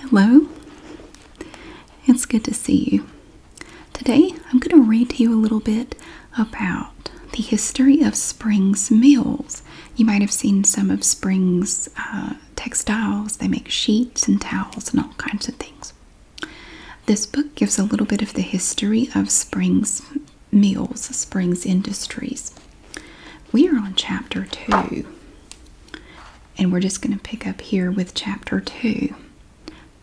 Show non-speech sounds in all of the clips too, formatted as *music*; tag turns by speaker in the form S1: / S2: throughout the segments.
S1: Hello, it's good to see you. Today I'm going to read to you a little bit about the history of Springs Mills. You might have seen some of Springs uh, textiles, they make sheets and towels and all kinds of things. This book gives a little bit of the history of Springs Mills, Springs Industries. We are on chapter two. And we're just going to pick up here with chapter 2.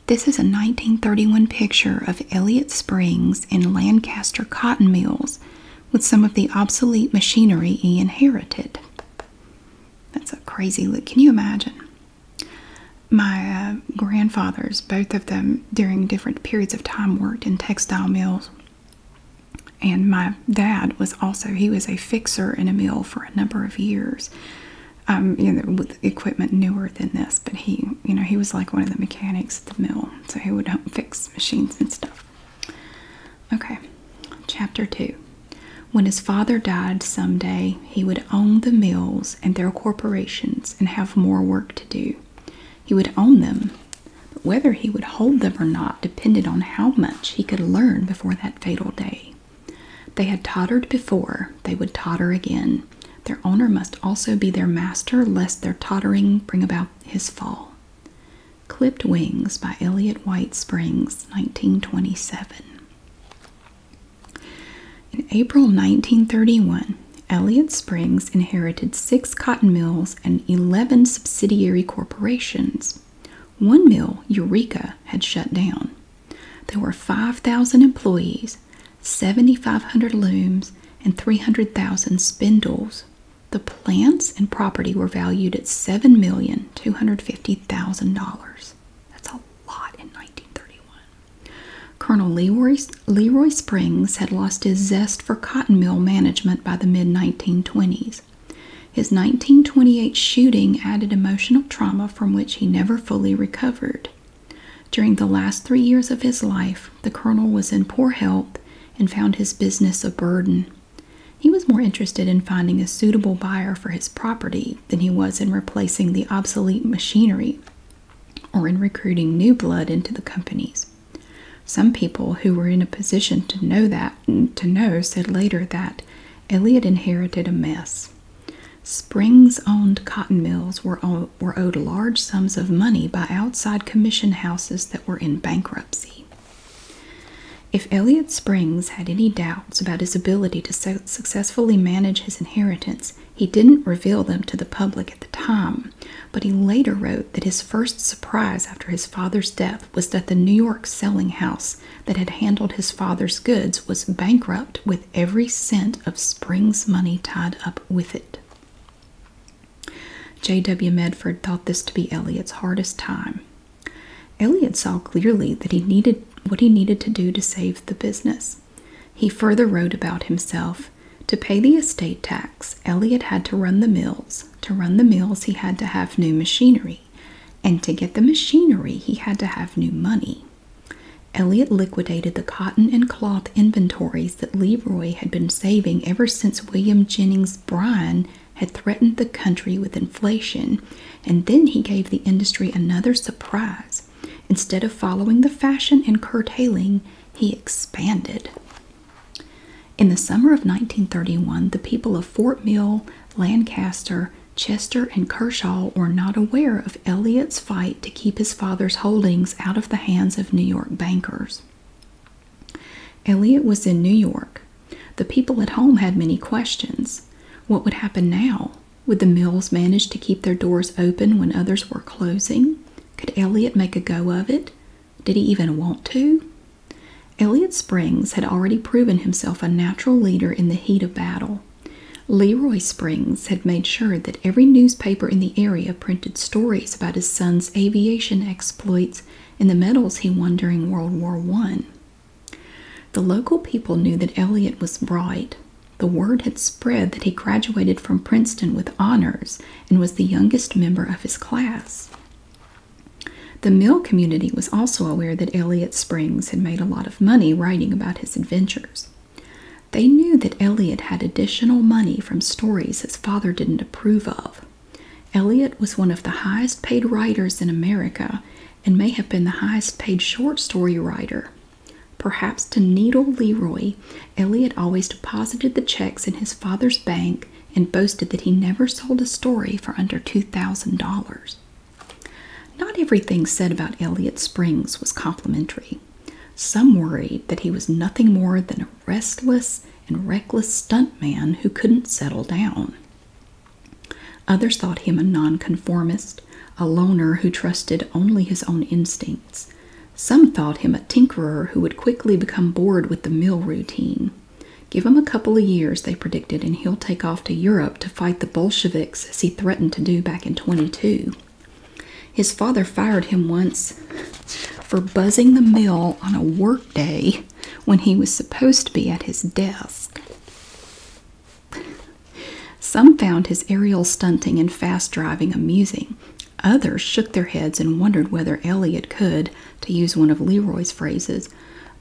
S1: This is a 1931 picture of Elliott Springs and Lancaster cotton mills with some of the obsolete machinery he inherited. That's a crazy look. Can you imagine? My uh, grandfathers, both of them during different periods of time, worked in textile mills and my dad was also he was a fixer in a mill for a number of years um, you know, with equipment newer than this but he you know he was like one of the mechanics at the mill so he would fix machines and stuff okay chapter 2 when his father died someday he would own the mills and their corporations and have more work to do he would own them but whether he would hold them or not depended on how much he could learn before that fatal day. They had tottered before, they would totter again. Their owner must also be their master, lest their tottering bring about his fall. Clipped Wings by Elliot White Springs, 1927. In April 1931, Elliot Springs inherited six cotton mills and 11 subsidiary corporations. One mill, Eureka, had shut down. There were 5,000 employees, 7,500 looms, and 300,000 spindles. The plants and property were valued at $7,250,000. That's a lot in 1931. Colonel Leroy, Leroy Springs had lost his zest for cotton mill management by the mid 1920s. His 1928 shooting added emotional trauma from which he never fully recovered. During the last three years of his life, the colonel was in poor health and found his business a burden. He was more interested in finding a suitable buyer for his property than he was in replacing the obsolete machinery or in recruiting new blood into the companies. Some people who were in a position to know that to know said later that Elliot inherited a mess. Springs owned cotton mills were, owed large sums of money by outside commission houses that were in bankruptcy. If Elliot Springs had any doubts about his ability to successfully manage his inheritance, he didn't reveal them to the public at the time, but he later wrote that his first surprise after his father's death was that the New York selling house that had handled his father's goods was bankrupt with every cent of Spring's money tied up with it. J.W. Medford thought this to be Elliot's hardest time. Elliot saw clearly that he needed what he needed to do to save the business. He further wrote about himself to pay the estate tax facts, had to run the mills. To run the mills, he had to have new machinery. And to get the machinery, he had to have new money. Elliot liquidated the cotton and cloth inventories that Leroy had been saving ever since William Jennings Bryan had threatened the country with inflation, and then he gave the industry another surprise. Instead of following the fashion in curtailing, he expanded. In the summer of 1931, the people of Fort Mill, Lancaster, Chester, and Kershaw were not aware of Elliot's fight to keep his father's holdings out of the hands of New York bankers. Elliot was in New York. The people at home had many questions. What would happen now? Would the mills manage to keep their doors open when others were closing? Could Elliot make a go of it? Did he even want to? Elliot Springs had already proven himself a natural leader in the heat of battle. Leroy Springs had made sure that every newspaper in the area printed stories about his son's aviation exploits and the medals he won during World War I. The local people knew that Elliot was bright. The word had spread that he graduated from Princeton with honors and was the youngest member of his class. The mill community was also aware that Elliott Springs had made a lot of money writing about his adventures. They knew that Elliott had additional money from stories his father didn't approve of. Elliott was one of the highest paid writers in America and may have been the highest paid short story writer. Perhaps to needle Leroy, Elliott always deposited the checks in his father's bank and boasted that he never sold a story for under $2,000. Not everything said about Elliot Springs was complimentary. Some worried that he was nothing more than a restless and reckless stunt man who couldn't settle down. Others thought him a nonconformist, a loner who trusted only his own instincts. Some thought him a tinkerer who would quickly become bored with the mill routine. Give him a couple of years, they predicted, and he'll take off to Europe to fight the Bolsheviks as he threatened to do back in 22. His father fired him once for buzzing the mill on a workday when he was supposed to be at his desk. Some found his aerial stunting and fast driving amusing. Others shook their heads and wondered whether Elliot could, to use one of Leroy's phrases,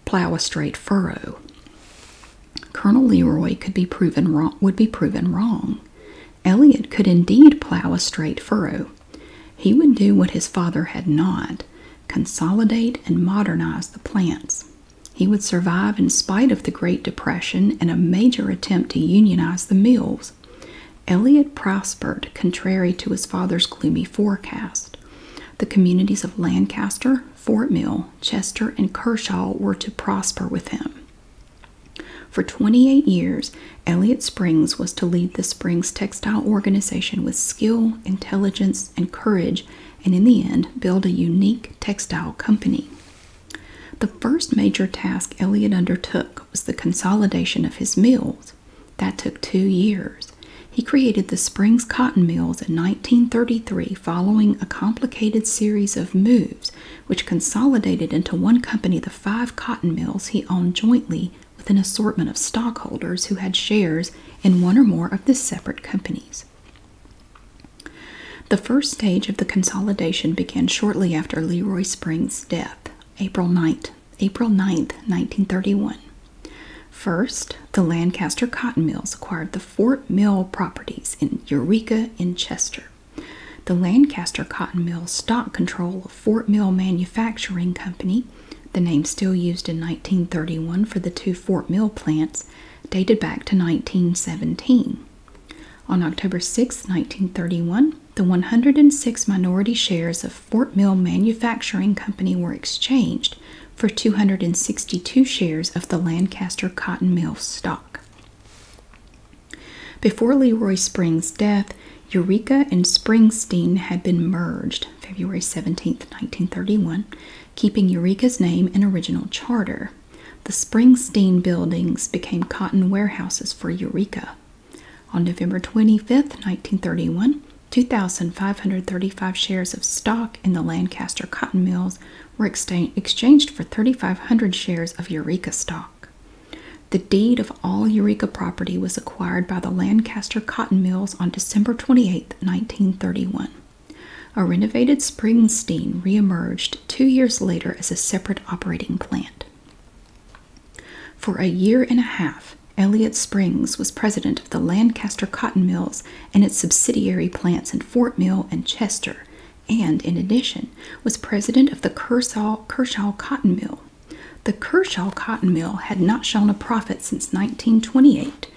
S1: plow a straight furrow. Colonel Leroy could be proven wrong, would be proven wrong. Elliot could indeed plow a straight furrow. He would do what his father had not, consolidate and modernize the plants. He would survive in spite of the Great Depression and a major attempt to unionize the mills. Elliott prospered, contrary to his father's gloomy forecast. The communities of Lancaster, Fort Mill, Chester, and Kershaw were to prosper with him. For 28 years, Elliott Springs was to lead the Springs Textile Organization with skill, intelligence, and courage, and in the end, build a unique textile company. The first major task Elliott undertook was the consolidation of his mills. That took two years. He created the Springs Cotton Mills in 1933 following a complicated series of moves which consolidated into one company the five cotton mills he owned jointly with an assortment of stockholders who had shares in one or more of the separate companies. The first stage of the consolidation began shortly after Leroy Springs' death, April 9, April 9th, 1931. First, the Lancaster Cotton Mills acquired the Fort Mill properties in Eureka and Chester. The Lancaster Cotton Mills stock control of Fort Mill Manufacturing Company, the name still used in 1931 for the two Fort Mill plants, dated back to 1917. On October 6, 1931, the 106 minority shares of Fort Mill Manufacturing Company were exchanged for 262 shares of the Lancaster Cotton Mill stock. Before Leroy Springs' death, Eureka and Springsteen had been merged February 17, 1931, keeping Eureka's name and original charter. The Springsteen buildings became cotton warehouses for Eureka. On November 25th, 1931, 2,535 shares of stock in the Lancaster cotton mills were exchanged for 3,500 shares of Eureka stock. The deed of all Eureka property was acquired by the Lancaster cotton mills on December twenty-eighth, 1931. A renovated Springsteen reemerged two years later as a separate operating plant. For a year and a half, Elliott Springs was president of the Lancaster Cotton Mills and its subsidiary plants in Fort Mill and Chester, and in addition, was president of the Kershaw, Kershaw Cotton Mill. The Kershaw Cotton Mill had not shown a profit since 1928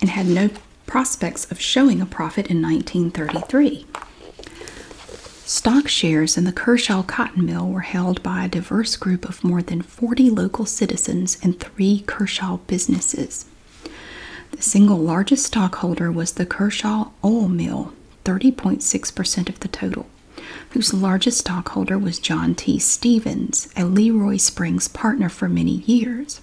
S1: and had no prospects of showing a profit in 1933. Stock shares in the Kershaw Cotton Mill were held by a diverse group of more than 40 local citizens and three Kershaw businesses. The single largest stockholder was the Kershaw Oil Mill, 30.6% of the total, whose largest stockholder was John T. Stevens, a Leroy Springs partner for many years.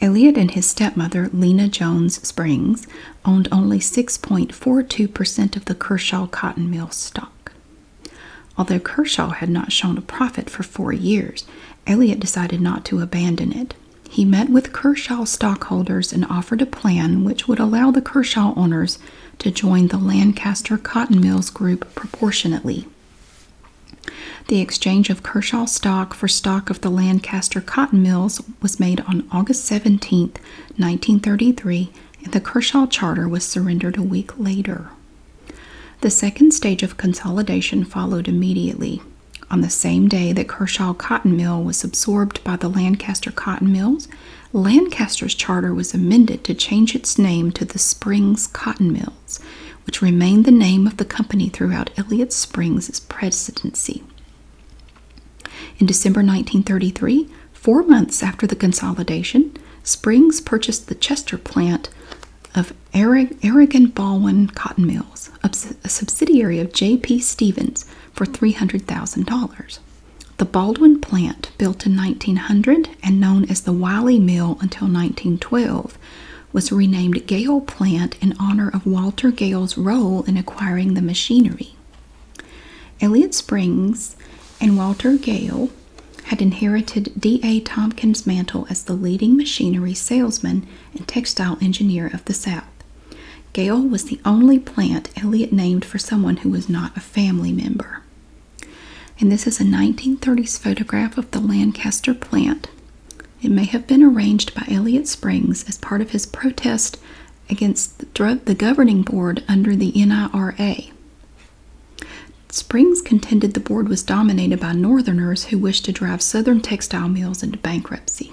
S1: Elliot and his stepmother, Lena Jones Springs, owned only 6.42% of the Kershaw Cotton Mill stock. Although Kershaw had not shown a profit for four years, Elliot decided not to abandon it. He met with Kershaw stockholders and offered a plan which would allow the Kershaw owners to join the Lancaster Cotton Mills Group proportionately. The exchange of Kershaw stock for stock of the Lancaster Cotton Mills was made on August 17, 1933, the Kershaw Charter was surrendered a week later. The second stage of consolidation followed immediately. On the same day that Kershaw Cotton Mill was absorbed by the Lancaster Cotton Mills, Lancaster's charter was amended to change its name to the Springs Cotton Mills, which remained the name of the company throughout Elliott Springs' presidency. In December 1933, Four months after the consolidation, Springs purchased the Chester plant of Aragon Baldwin Cotton Mills, a subsidiary of J.P. Stevens, for $300,000. The Baldwin plant, built in 1900 and known as the Wiley Mill until 1912, was renamed Gale Plant in honor of Walter Gale's role in acquiring the machinery. Elliot Springs and Walter Gale had inherited D.A. Tompkins Mantle as the leading machinery salesman and textile engineer of the South. Gale was the only plant Elliot named for someone who was not a family member. And this is a 1930s photograph of the Lancaster plant. It may have been arranged by Elliot Springs as part of his protest against the, governing board under the NIRA. Springs contended the board was dominated by Northerners who wished to drive Southern textile mills into bankruptcy.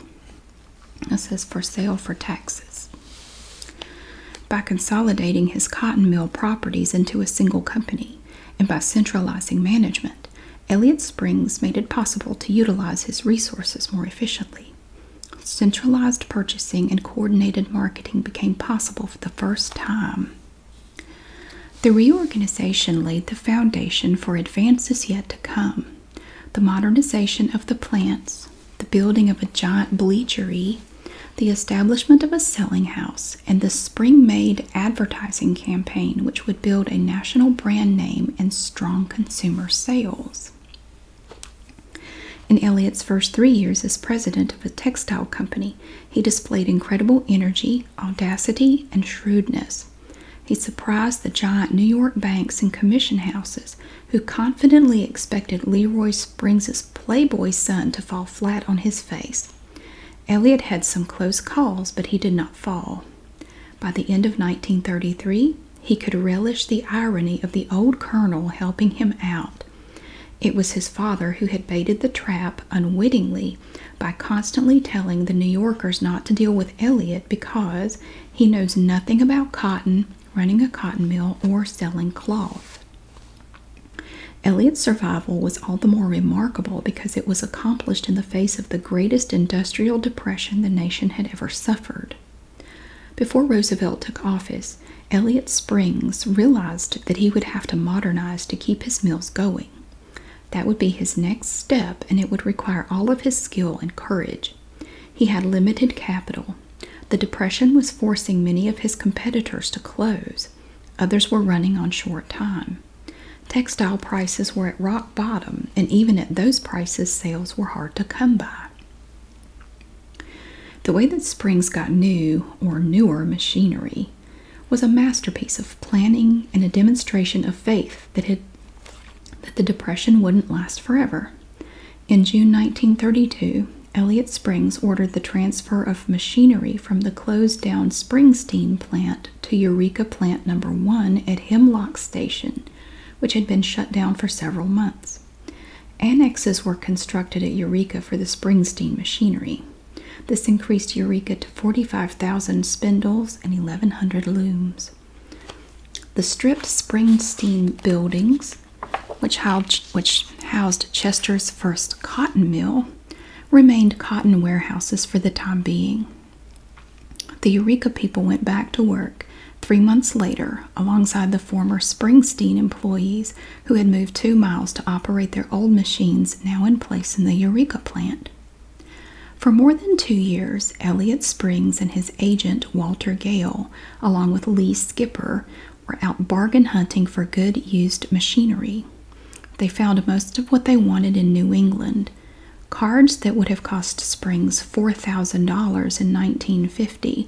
S1: It says for sale for taxes. By consolidating his cotton mill properties into a single company and by centralizing management, Elliott Springs made it possible to utilize his resources more efficiently. Centralized purchasing and coordinated marketing became possible for the first time. The reorganization laid the foundation for advances yet to come. The modernization of the plants, the building of a giant bleachery, the establishment of a selling house, and the spring made advertising campaign, which would build a national brand name and strong consumer sales. In Elliott's first three years as president of a textile company, he displayed incredible energy, audacity, and shrewdness. He surprised the giant New York banks and commission houses, who confidently expected Leroy Springs's playboy son to fall flat on his face. Elliot had some close calls, but he did not fall. By the end of 1933, he could relish the irony of the old colonel helping him out. It was his father who had baited the trap unwittingly by constantly telling the New Yorkers not to deal with Elliot because he knows nothing about cotton, running a cotton mill, or selling cloth. Elliot's survival was all the more remarkable because it was accomplished in the face of the greatest industrial depression the nation had ever suffered. Before Roosevelt took office, Elliot Springs realized that he would have to modernize to keep his mills going. That would be his next step, and it would require all of his skill and courage. He had limited capital. The Depression was forcing many of his competitors to close. Others were running on short time. Textile prices were at rock bottom, and even at those prices, sales were hard to come by. The way that Springs got new or newer machinery was a masterpiece of planning and a demonstration of faith that the depression wouldn't last forever. In June 1932, Elliott Springs ordered the transfer of machinery from the closed down Springsteen plant to Eureka plant number 1 at Hemlock Station, which had been shut down for several months. Annexes were constructed at Eureka for the Springsteen machinery. This increased Eureka to 45,000 spindles and 1,100 looms. The stripped Springsteen buildings, which housed, Chester's first cotton mill, remained cotton warehouses for the time being. The Eureka people went back to work three months later alongside the former Springsteen employees who had moved two miles to operate their old machines now in place in the Eureka plant. For more than two years, Elliot Springs and his agent Walter Gale, along with Lee Skipper, were out bargain hunting for good used machinery. They found most of what they wanted in New England. Cards that would have cost Springs $4,000 in 1950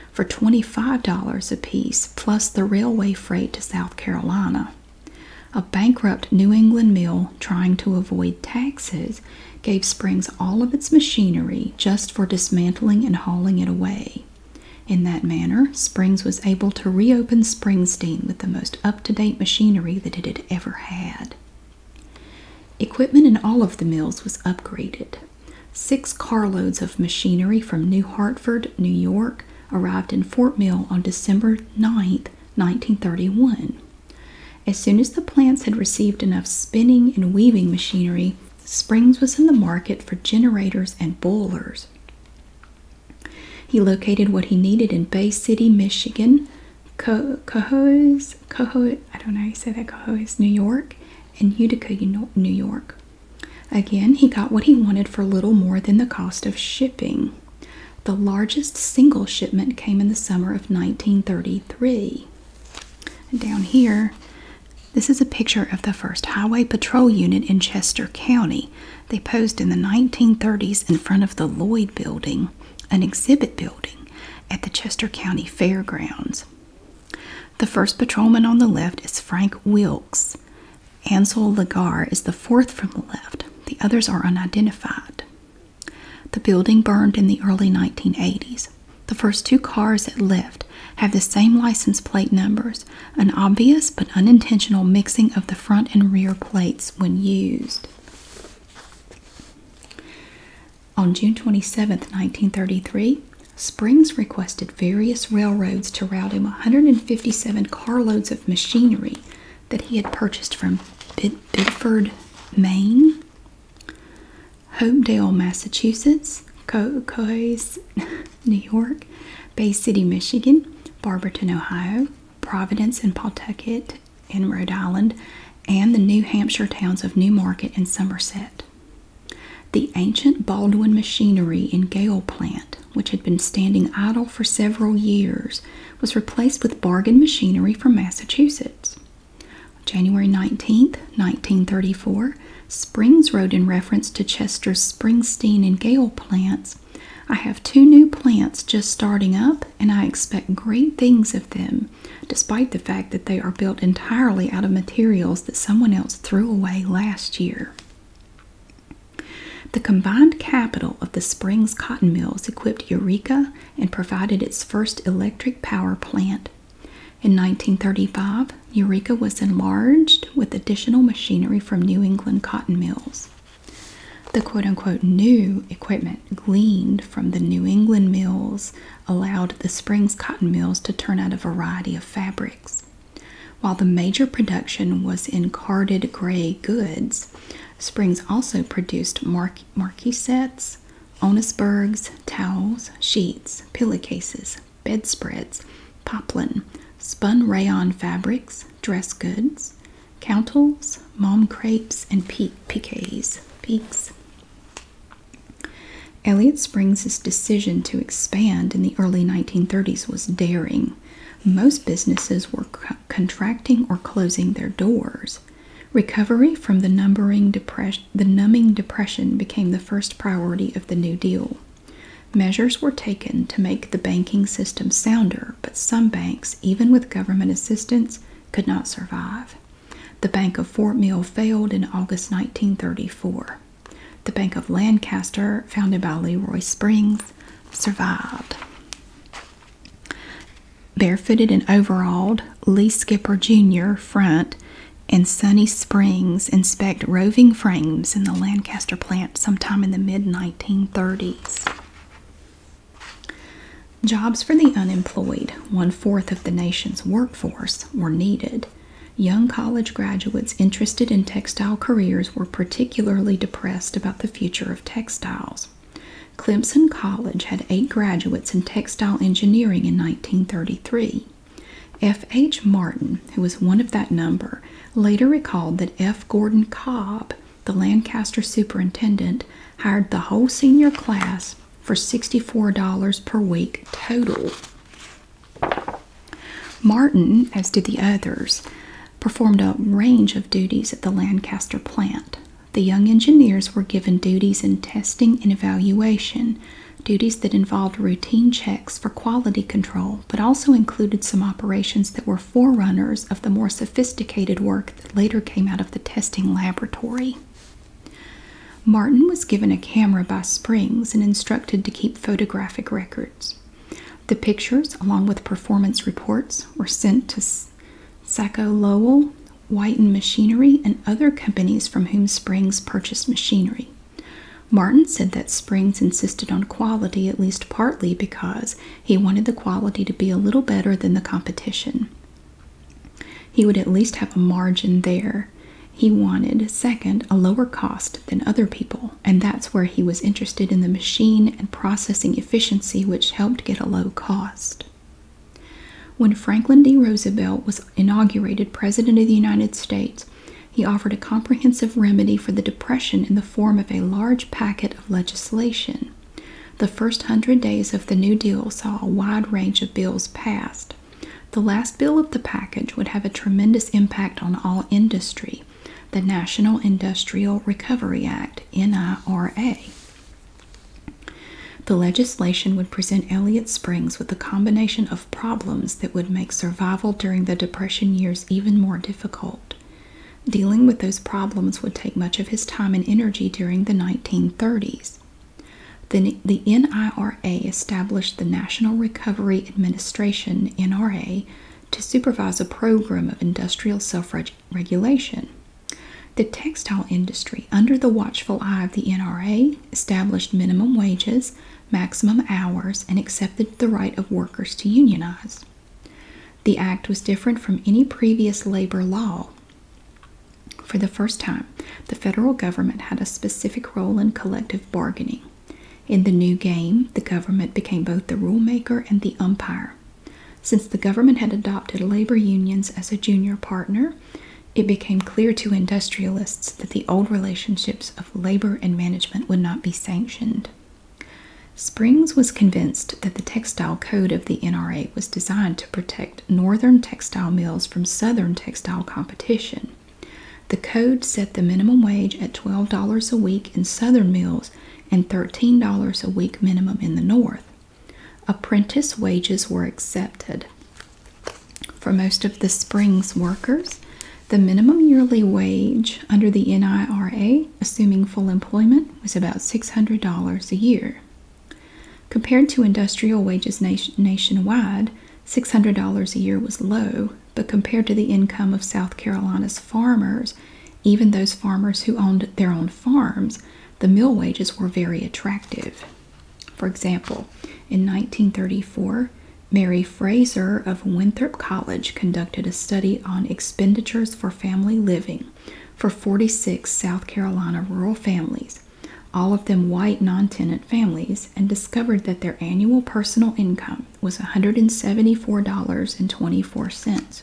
S1: for $25 apiece plus the railway freight to South Carolina. A bankrupt New England mill trying to avoid taxes gave Springs all of its machinery just for dismantling and hauling it away. In that manner, Springs was able to reopen Springsteen with the most up to date machinery that it had ever had. Equipment in all of the mills was upgraded. Six carloads of machinery from New Hartford, New York, arrived in Fort Mill on December 9, 1931. As soon as the plants had received enough spinning and weaving machinery, Springs was in the market for generators and boilers. He located what he needed in Bay City, Michigan, Co Cohoes, I don't know how you say that, Cohoes, New York, and Utica, New York. Again, he got what he wanted for little more than the cost of shipping. The largest single shipment came in the summer of 1933. down here, this is a picture of the 1st Highway Patrol Unit in Chester County. They posed in the 1930s in front of the Lloyd Building, an exhibit building at the Chester County Fairgrounds. The first patrolman on the left is Frank Wilkes. Ansel Lagar is the fourth from the left. The others are unidentified. The building burned in the early 1980s. The first two cars at left have the same license plate numbers, an obvious but unintentional mixing of the front and rear plates when used. On June 27, 1933, Springs requested various railroads to route him 157 carloads of machinery that he had purchased from Biddeford, Bidford, Maine, Hopedale, Massachusetts, Cohoes, *laughs* New York, Bay City, Michigan, Barberton, Ohio, Providence and Pawtucket in Rhode Island, and the New Hampshire towns of New Market and Somerset. The ancient Baldwin machinery in gale plant, which had been standing idle for several years, was replaced with bargain machinery from Massachusetts. January nineteenth, 1934, Springs wrote in reference to Chester's Springsteen and Gale plants, I have two new plants just starting up, and I expect great things of them, despite the fact that they are built entirely out of materials that someone else threw away last year. The combined capital of the Springs cotton mills equipped Eureka and provided its first electric power plant. In 1935, Eureka was enlarged with additional machinery from New England cotton mills. The quote unquote new equipment gleaned from the New England mills allowed the Springs cotton mills to turn out a variety of fabrics. While the major production was in carded gray goods, Springs also produced marquisets, marquesettes, onisbergs, towels, sheets, pillowcases, bedspreads, poplin, spun rayon fabrics, dress goods, countles, mom crepes, and peak piques. Peaks. Elliott Springs' decision to expand in the early 1930s was daring. Most businesses were contracting or closing their doors. Recovery from the, numbering the numbing depression became the first priority of the New Deal. Measures were taken to make the banking system sounder, but some banks, even with government assistance, could not survive. The Bank of Fort Mill failed in August 1934. The Bank of Lancaster, founded by Leroy Springs, survived. Barefooted and overalled, Lee Skipper Jr. Front and Sunny Springs inspect roving frames in the Lancaster plant sometime in the mid 1930s. Jobs for the unemployed, one fourth of the nation's workforce, were needed. Young college graduates interested in textile careers were particularly depressed about the future of textiles. Clemson College had eight graduates in textile engineering in 1933. F. H. Martin, who was one of that number, later recalled that F. Gordon Cobb, the Lancaster superintendent, hired the whole senior class for $64 per week total. Martin, as did the others, performed a range of duties at the Lancaster plant. The young engineers were given duties in testing and evaluation, duties that involved routine checks for quality control, but also included some operations that were forerunners of the more sophisticated work that later came out of the testing laboratory. Martin was given a camera by Springs and instructed to keep photographic records. The pictures, along with performance reports, were sent to Sacco Lowell, White and Machinery, and other companies from whom Springs purchased machinery. Martin said that Springs insisted on quality at least partly because he wanted the quality to be a little better than the competition. He would at least have a margin there he wanted, second, a lower cost than other people, and that's where he was interested in the machine and processing efficiency, which helped get a low cost. When Franklin D. Roosevelt was inaugurated President of the United States, he offered a comprehensive remedy for the Depression in the form of a large packet of legislation. The first hundred days of the New Deal saw a wide range of bills passed. The last bill of the package would have a tremendous impact on all industry, the National Industrial Recovery Act, NIRA. The legislation would present Elliott Springs with a combination of problems that would make survival during the Depression years even more difficult. Dealing with those problems would take much of his time and energy during the 1930s. The, the NIRA established the National Recovery Administration, NRA, to supervise a program of industrial self regulation. The textile industry, under the watchful eye of the NRA, established minimum wages, maximum hours, and accepted the right of workers to unionize. The act was different from any previous labor law. For the first time, the federal government had a specific role in collective bargaining. In the new game, the government became both the rulemaker and the umpire. Since the government had adopted labor unions as a junior partner, it became clear to industrialists that the old relationships of labor and management would not be sanctioned. Springs was convinced that the textile code of the NRA was designed to protect northern textile mills from southern textile competition. The code set the minimum wage at $12 a week in southern mills and $13 a week minimum in the north. Apprentice wages were accepted. For most of the spring's workers, the minimum yearly wage under the NIRA, assuming full employment, was about $600 a year. Compared to industrial wages nationwide, $600 a year was low, but compared to the income of South Carolina's farmers, even those farmers who owned their own farms, the mill wages were very attractive. For example, in 1934, Mary Fraser of Winthrop College conducted a study on expenditures for family living for 46 South Carolina rural families all of them white non tenant families, and discovered that their annual personal income was $174.24.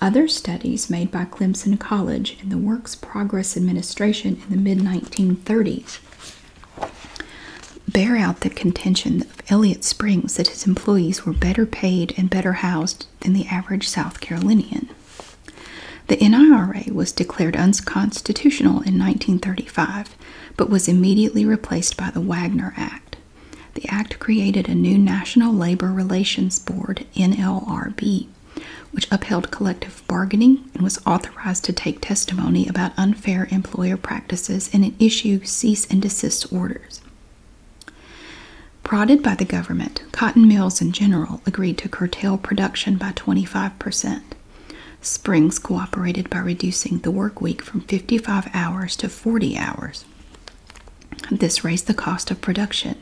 S1: Other studies made by Clemson College and the Works Progress Administration in the mid 1930s bear out the contention of Elliott Springs that his employees were better paid and better housed than the average South Carolinian. The NIRA was declared unconstitutional in 1935 but was immediately replaced by the Wagner Act. The act created a new National Labor Relations Board, NLRB, which upheld collective bargaining and was authorized to take testimony about unfair employer practices and issue cease and desist orders. Prodded by the government, cotton mills in general agreed to curtail production by 25%. Springs cooperated by reducing the work week from 55 hours to 40 hours. This raised the cost of production.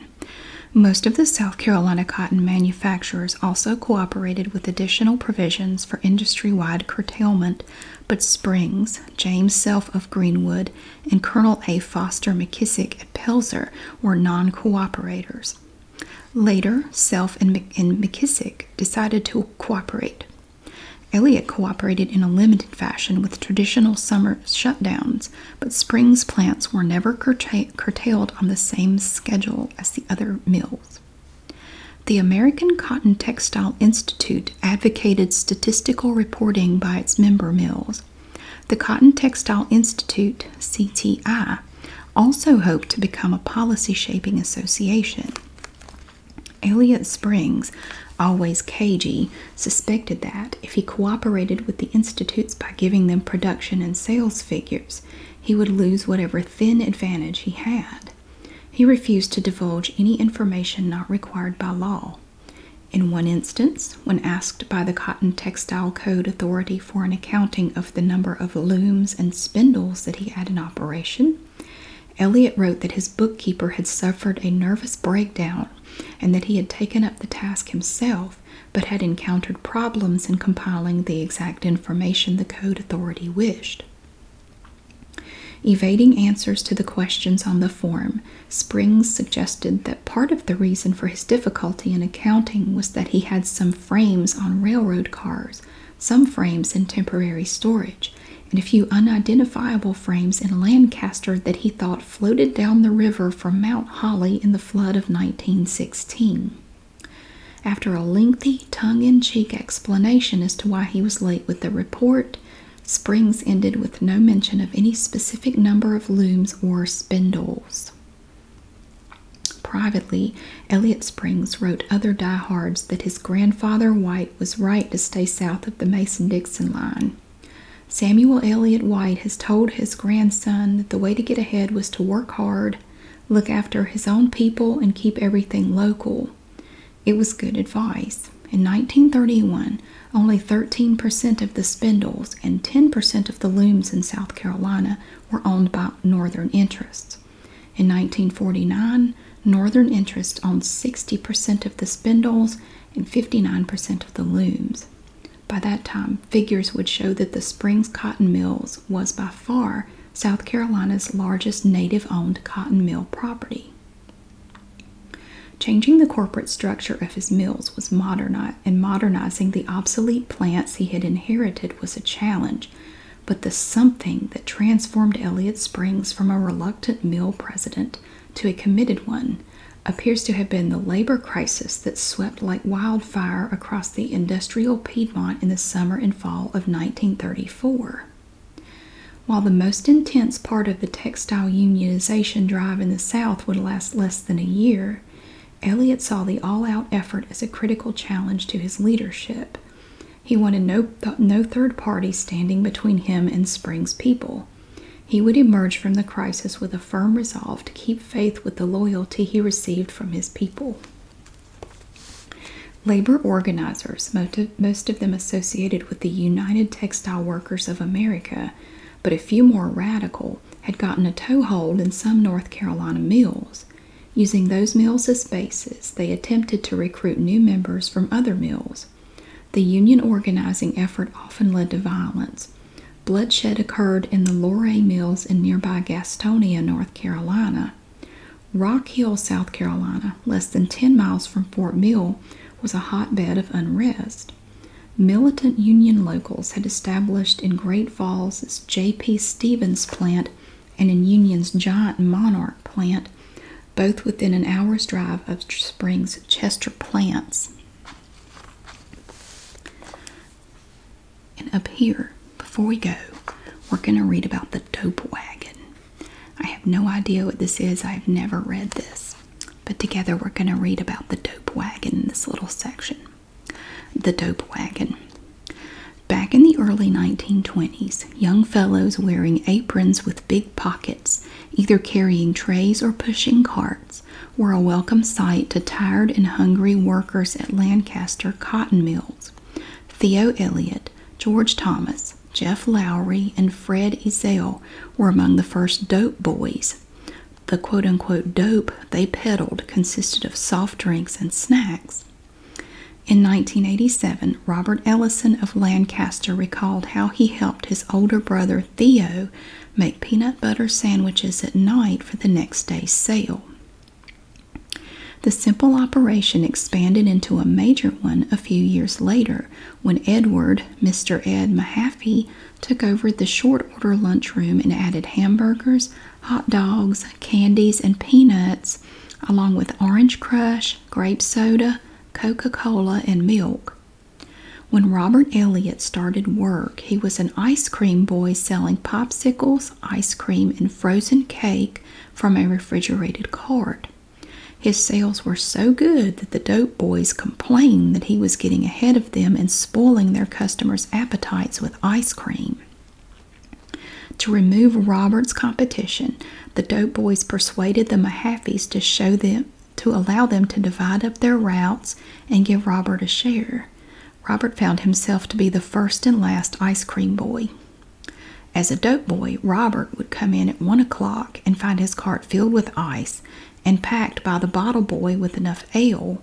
S1: Most of the South Carolina cotton manufacturers also cooperated with additional provisions for industry wide curtailment, but Springs, James Self of Greenwood, and Colonel A. Foster McKissick at Pelzer were non cooperators. Later, Self and, Mc McKissick decided to cooperate. Elliot cooperated in a limited fashion with traditional summer shutdowns, but spring's plants were never curtailed on the same schedule as the other mills. The American Cotton Textile Institute advocated statistical reporting by its member mills. The Cotton Textile Institute, CTI, also hoped to become a policy shaping association. Elliot Springs, always cagey, suspected that if he cooperated with the institutes by giving them production and sales figures, he would lose whatever thin advantage he had. He refused to divulge any information not required by law. In one instance, when asked by the Cotton Textile Code Authority for an accounting of the number of looms and spindles that he had in operation. Elliot wrote that his bookkeeper had suffered a nervous breakdown and that he had taken up the task himself but had encountered problems in compiling the exact information the code authority wished. Evading answers to the questions on the form, Springs suggested that part of the reason for his difficulty in accounting was that he had some frames on railroad cars some frames in temporary storage, and a few unidentifiable frames in Lancaster that he thought floated down the river from Mount Holly in the flood of 1916. After a lengthy tongue in cheek explanation as to why he was late with the report, Springs ended with no mention of any specific number of looms or spindles. Privately, Elliot Springs wrote other diehards that his grandfather White was right to stay south of the Mason Dixon line. Samuel Elliott White has told his grandson that the way to get ahead was to work hard, look after his own people, and keep everything local. It was good advice. In 1931, only 13% of the spindles and 10% of the looms in South Carolina were owned by Northern interests. In 1949, Northern interests owned 60% of the spindles and 59% of the looms. By that time, figures would show that the Springs Cotton Mills was by far South Carolina's largest native owned cotton mill property. Changing the corporate structure of his mills was modernizing, and modernizing the obsolete plants he had inherited was a challenge, but the something that transformed Elliott Springs from a reluctant mill president to a committed one appears to have been the labor crisis that swept like wildfire across the industrial Piedmont in the summer and fall of 1934. While the most intense part of the textile unionization drive in the South would last less than a year, Elliot saw the all out effort as a critical challenge to his leadership. He wanted no, no third party standing between him and Spring's people. He would emerge from the crisis with a firm resolve to keep faith with the loyalty he received from his people. Labor organizers, most of them associated with the United Textile Workers of America, but a few more radical, had gotten a toehold in some North Carolina mills. Using those mills as bases, they attempted to recruit new members from other mills. The union organizing effort often led to violence. Bloodshed occurred in the Luray Mills in nearby Gastonia, North Carolina. Rock Hill, South Carolina, less than 10 miles from Fort Mill, was a hotbed of unrest. Militant Union locals had established in Great Falls its J.P. Stevens' plant and in Union's giant Monarch plant, both within an hour's drive of Springs Chester plants. And up here, before we go, we're going to read about the dope wagon. I have no idea what this is, I've never read this. But together, we're going to read about the dope wagon in this little section. The Dope Wagon. Back in the early 1920s, young fellows wearing aprons with big pockets, either carrying trays or pushing carts, were a welcome sight to tired and hungry workers at Lancaster cotton mills. Theo Elliott, George Thomas, Jeff Lowry, and Fred Ezell were among the first dope boys. The quote unquote dope they peddled consisted of soft drinks and snacks in 1987, Robert Ellison of Lancaster recalled how he helped his older brother Theo make peanut butter sandwiches at night for the next day's sale. The simple operation expanded into a major one a few years later when Edward, Mr. Ed Mahaffey, took over the short order lunchroom and added hamburgers, hot dogs, candies, and peanuts, along with orange crush, grape soda, Coca Cola, and milk. When Robert Elliott started work, he was an ice cream boy selling popsicles, ice cream, and frozen cake from a refrigerated cart. His sales were so good that the dope boys complained that he was getting ahead of them and spoiling their customers' appetites with ice cream. To remove Robert's competition, the dope boys persuaded the Mahaffeys to show them to allow them to divide up their routes and give Robert a share. Robert found himself to be the first and last ice cream boy. As a dope boy, Robert would come in at one o'clock and find his cart filled with ice and packed by the bottle boy with enough ale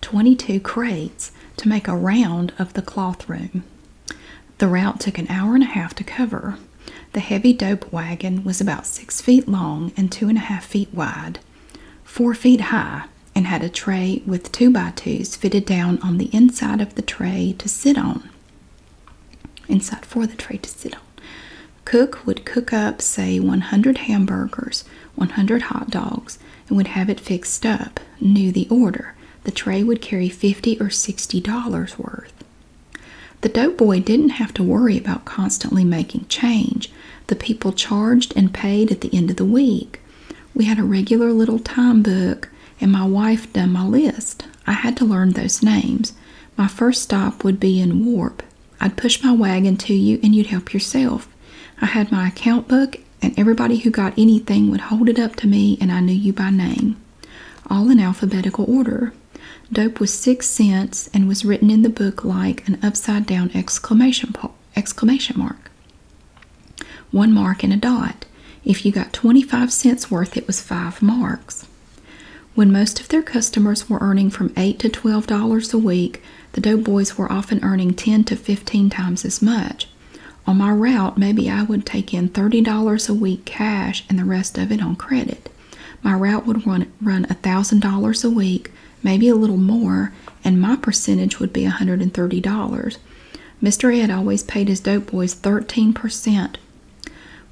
S1: 22 crates to make a round of the cloth room. The route took an hour and a half to cover. The heavy dope wagon was about six feet long and two and a half feet wide, four feet high, and had a tray with two by twos fitted down on the inside of the tray to sit on. Inside for the tray to sit on. Cook would cook up, say, 100 hamburgers, 100 hot dogs, and would have it fixed up, knew the order. The tray would carry fifty or sixty dollars worth. The dope boy didn't have to worry about constantly making change. The people charged and paid at the end of the week. We had a regular little time book, and my wife done my list. I had to learn those names. My first stop would be in Warp. I'd push my wagon to you, and you'd help yourself. I had my account book, and everybody who got anything would hold it up to me, and I knew you by name. All in alphabetical order. Dope was six cents and was written in the book like an upside down exclamation, exclamation mark. One mark and a dot. If you got 25 cents worth, it was five marks. When most of their customers were earning from 8 to $12 a week, the dope boys were often earning 10 to 15 times as much. On my route, maybe I would take in $30 a week cash and the rest of it on credit. My route would run run $1,000 a week, maybe a little more, and my percentage would be a $130. Mr. Ed always paid his dope boys 13%.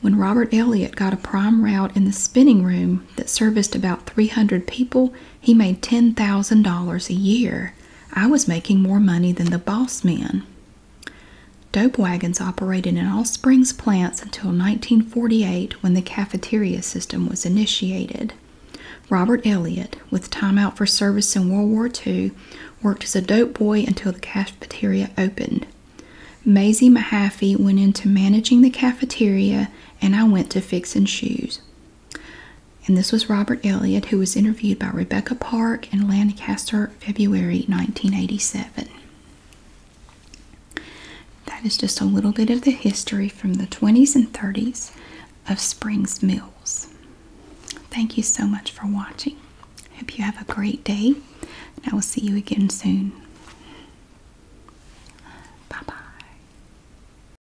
S1: When Robert Elliott got a prime route in the spinning room that serviced about 300 people, he made $10,000 a year. I was making more money than the boss men. Dope wagons operated in all Springs plants until 1948 when the cafeteria system was initiated. Robert Elliott, with time out for service in World War II, worked as a dope boy until the cafeteria opened. Maisie Mahaffey went into managing the cafeteria, and I went to fixing shoes. And this was Robert Elliott, who was interviewed by Rebecca Park in Lancaster, February 1987. That is just a little bit of the history from the 20s and 30s of Springs Mills. Thank you so much for watching. Hope you have a great day, and I will see you again soon. Bye bye.